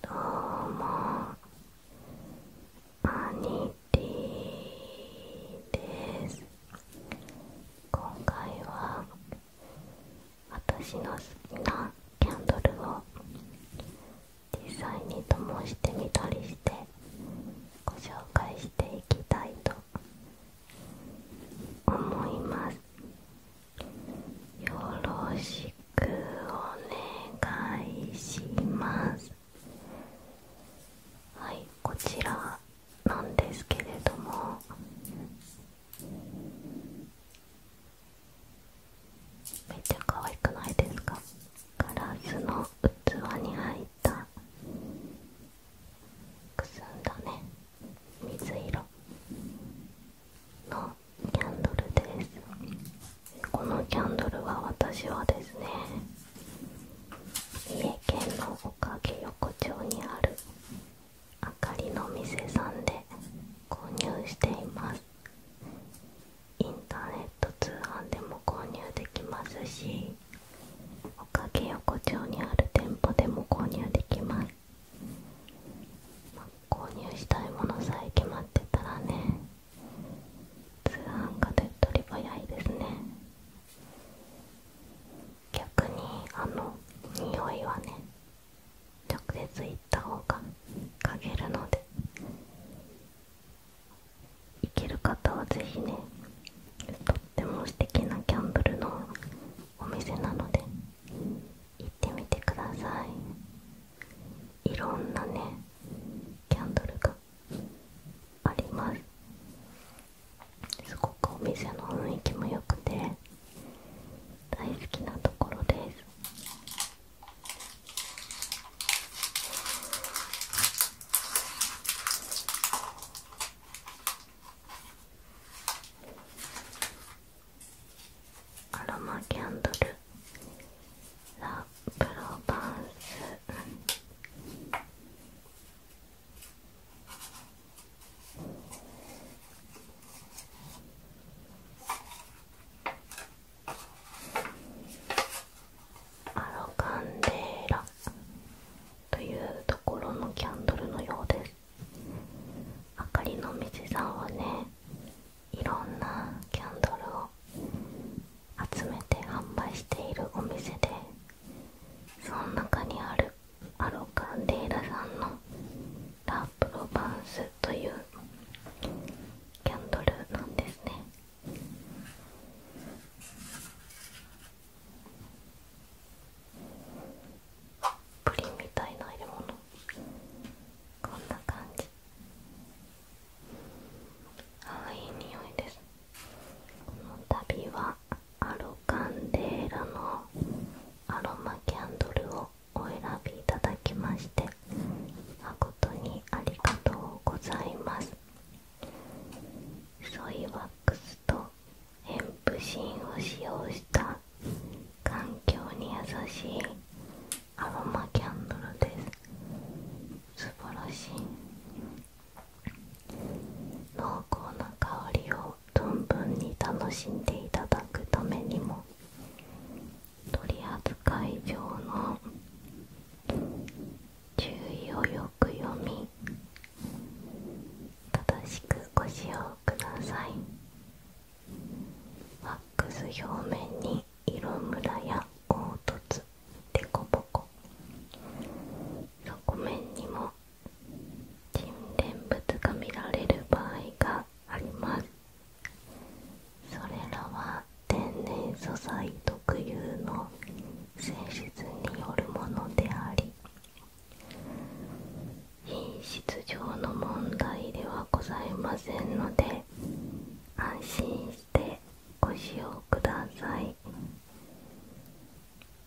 どうもアニテです今回は私の好きなキャンドルを実際に灯してみたりしてご紹介していきたいと思いますよろしくお願いしますはいこちらなんですけれどもめっちゃ可愛くないですかガラスの器に入ったくすんだね水色のキャンドルですこのキャンドルは私はですね三重県のおかげ横丁にあるあかりの店さんで購入していますインターネット通販でも購入できますしおかげ横丁にある店舗でも購入できます購入したいものさえ決まってたらね通販が手取り早いですね逆にあの匂いはね直接行った方が嗅げるので行ける方はぜひねとっても素敵なギャンブルのお店なので行ってみてくださいいろんなねキャンドルがありますすごくお店の雰囲気も良くて大好きなところですアロマキャンドルラ・プロバンスアロカンデーラというところのキャンドルのようです明かりのみちさんはねいろんなキャンドルを集めて販売しているお店でその中にあるアロカンデーラさんのラ・プロバンスというキャンドルなんですねプリンみたいな入れ物こんな感じああいい匂いですこの度はアロカンデーラのアロマキャンドルをお選びいただきまして誠にありがとうございますソイワックスとヘンプシンを使用した環境に優しいアロマキャンドルです素晴らしい濃厚な香りを存分に楽しんでいただくためにも取扱い上の注意をよく読み正しくご使用くださいワックス表面に色むらや凹凸凸凹。ボ面にも沈殿物が見られる場合がありますそれらは天然素材特有の性質によるものであり質上の問題ではございませんので安心してご使用ください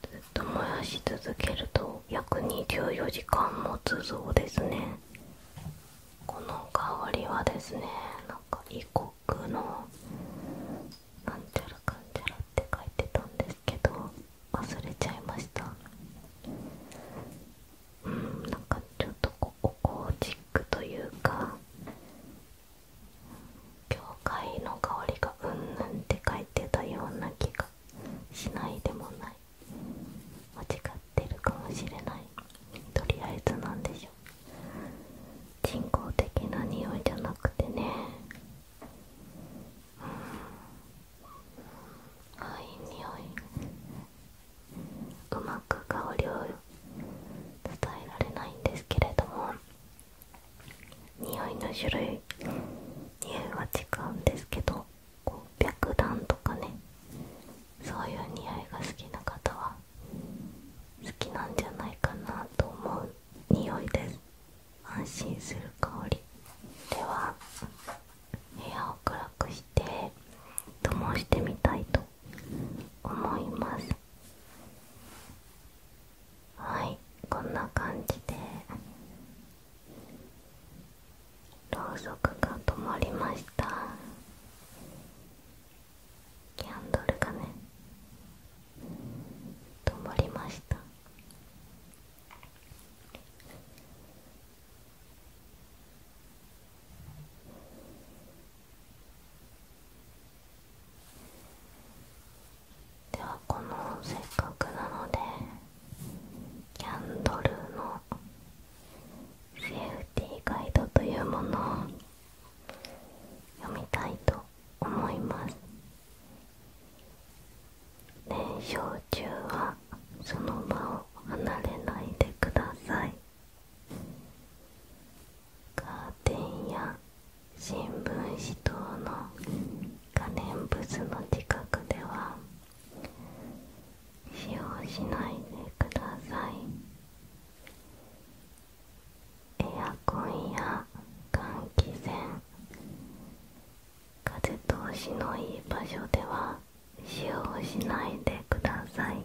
ずっと燃やし続けると約24時間持つそうですねこの代わりはですねなんか異国のなんちゃらかんちゃらって書いてたんですけど忘れちゃいましたなんかちょっとここゴージックというか教会の香りがうんぬんって書いてたような気がしないでもない間違ってるかもしれないとりあえずなんでしょう人工的な匂いじゃなくてねうんあいい匂いうまく香りを伝えられないんですけれども匂いの種類匂いは違うんですけどこう白檀とかねそういう匂いが好きな方は好きなんじゃないかなと思う匂いです安心する香りでは部屋を暗くして灯してみたいと思いますはいこんな感じでろうそくが止まりましたキャンドルがね止まりましたではこのせっかくなのでキャンドルのセーフティーガイドというものを読みたいと思います燃焼中はその場を離れないでくださいカーテンや新聞紙等の可燃物の近くでは使用しないでくださいエアコンや換気扇風通しのいい場所では使用しないでください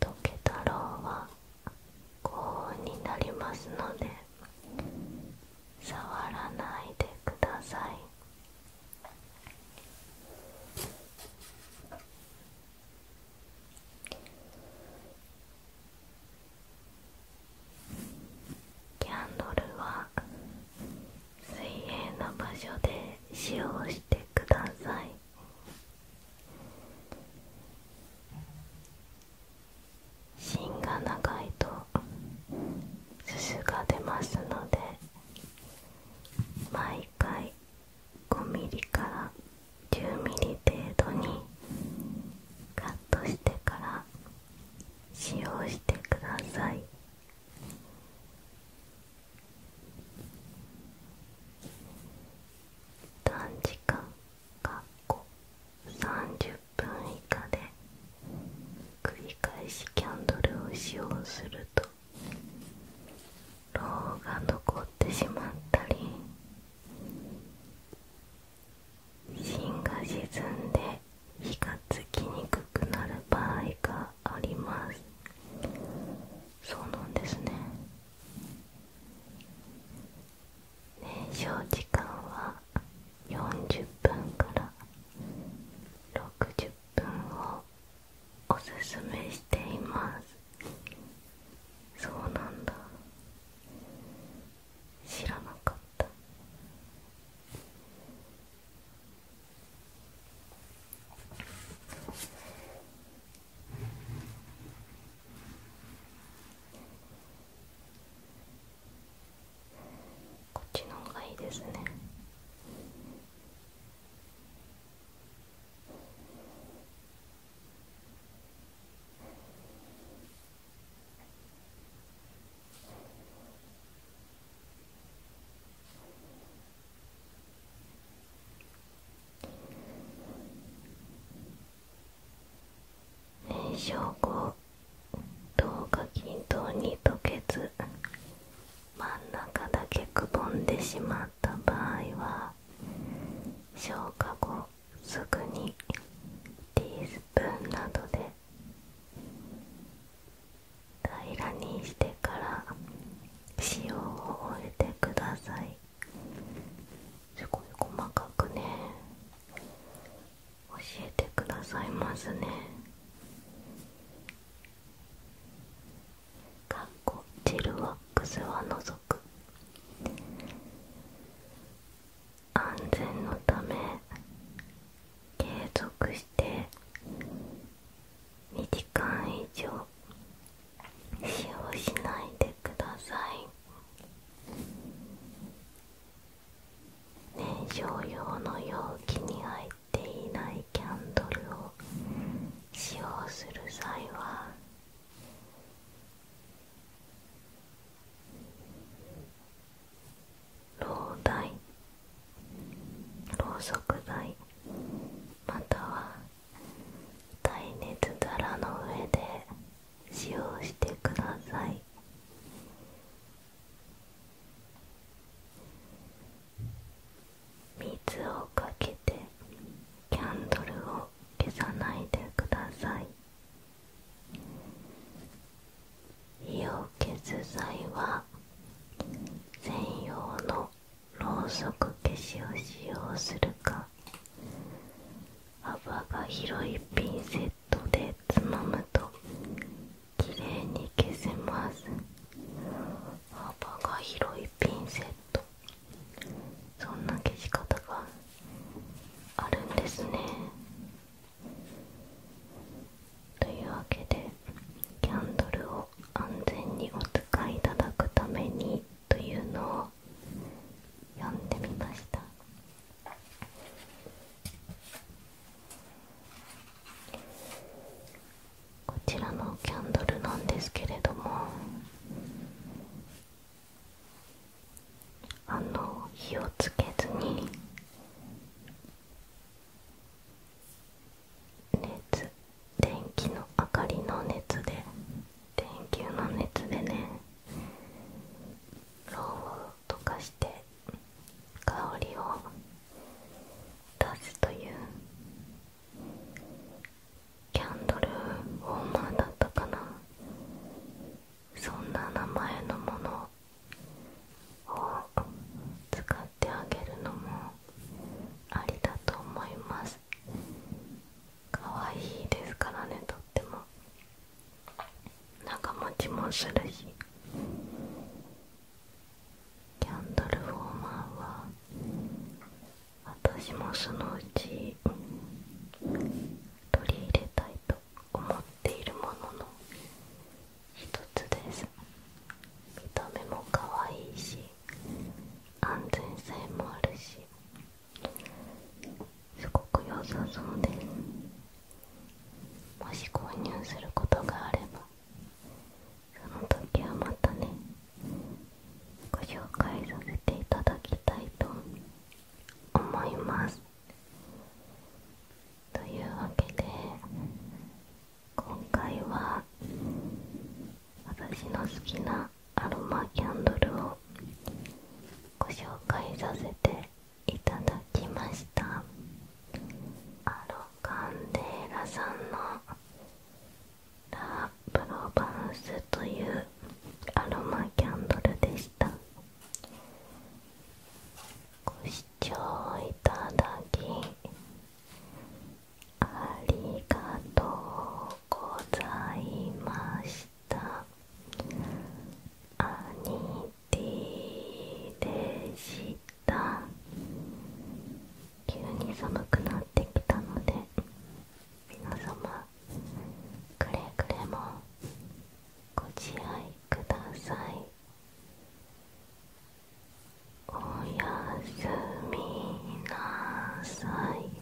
溶けたろうは高温になりますので触らないでくださいキャンドルは水平な場所で使用してください芯が長いとすすが出ますので毎回5 m m から10 m m 程度にカットしてから使用してください短時間か30分以下で繰り返しキャンドルを使用するとロウが残ってしまったり芯が沈んで火がつきにくくなる場合がありますそうなんですね燃焼時間は40分から60分をおすすめしていますそうなんだ知らなかったこっちの方がいいですね燃焼後糖が均等に溶けず真ん中だけくぼんでしまった場合は消化後すぐにティースプーンなどで平らにしてから塩を終えてくださいすごい細かくね教えてくださいますねかっこジェルワックスは除く安全のため継続して2時間以上使用しないでください燃焼用の容器に入っていないキャンドルを使用する際はろうろうそく台または耐熱皿の上で使用してください水をかけてキャンドルを消さないでください火を消す際は専用のろうそく消しを使用するか幅が広いピンセット。ッでつまむときれいに消せます幅が広いピンセットそんな消し方があるんですねというわけでキャンドルを安全にお使いいただくためにというのを読んでみましたこちらのキャンドルなんですけれどもあの火をつけずに熱電気の明かりの熱で電球の熱でねろうを溶かして香りを出すというキャンドルウォーマーだったかなそんな名前のものを使ってあげるのもありだと思います可愛いですからねとっても長持ちもするしキャンドルフォーマーは私もそのうち取り入れたいと思っているものの一つです見た目も可愛いし安全性もあるしすごく良さそうですもし購入することがあればその時はまたねご紹介させていただきたいと思いますというわけで今回は私の好きなアロマキャンドルをご紹介させていただきましたアロカンデーラさんのラ・プロヴァンスというアロマキャンドルでしたご視聴いただきありがとうございましたしたアニティでした急に寒くなってきたので皆様くれぐれもご自愛くださいおやすみなさい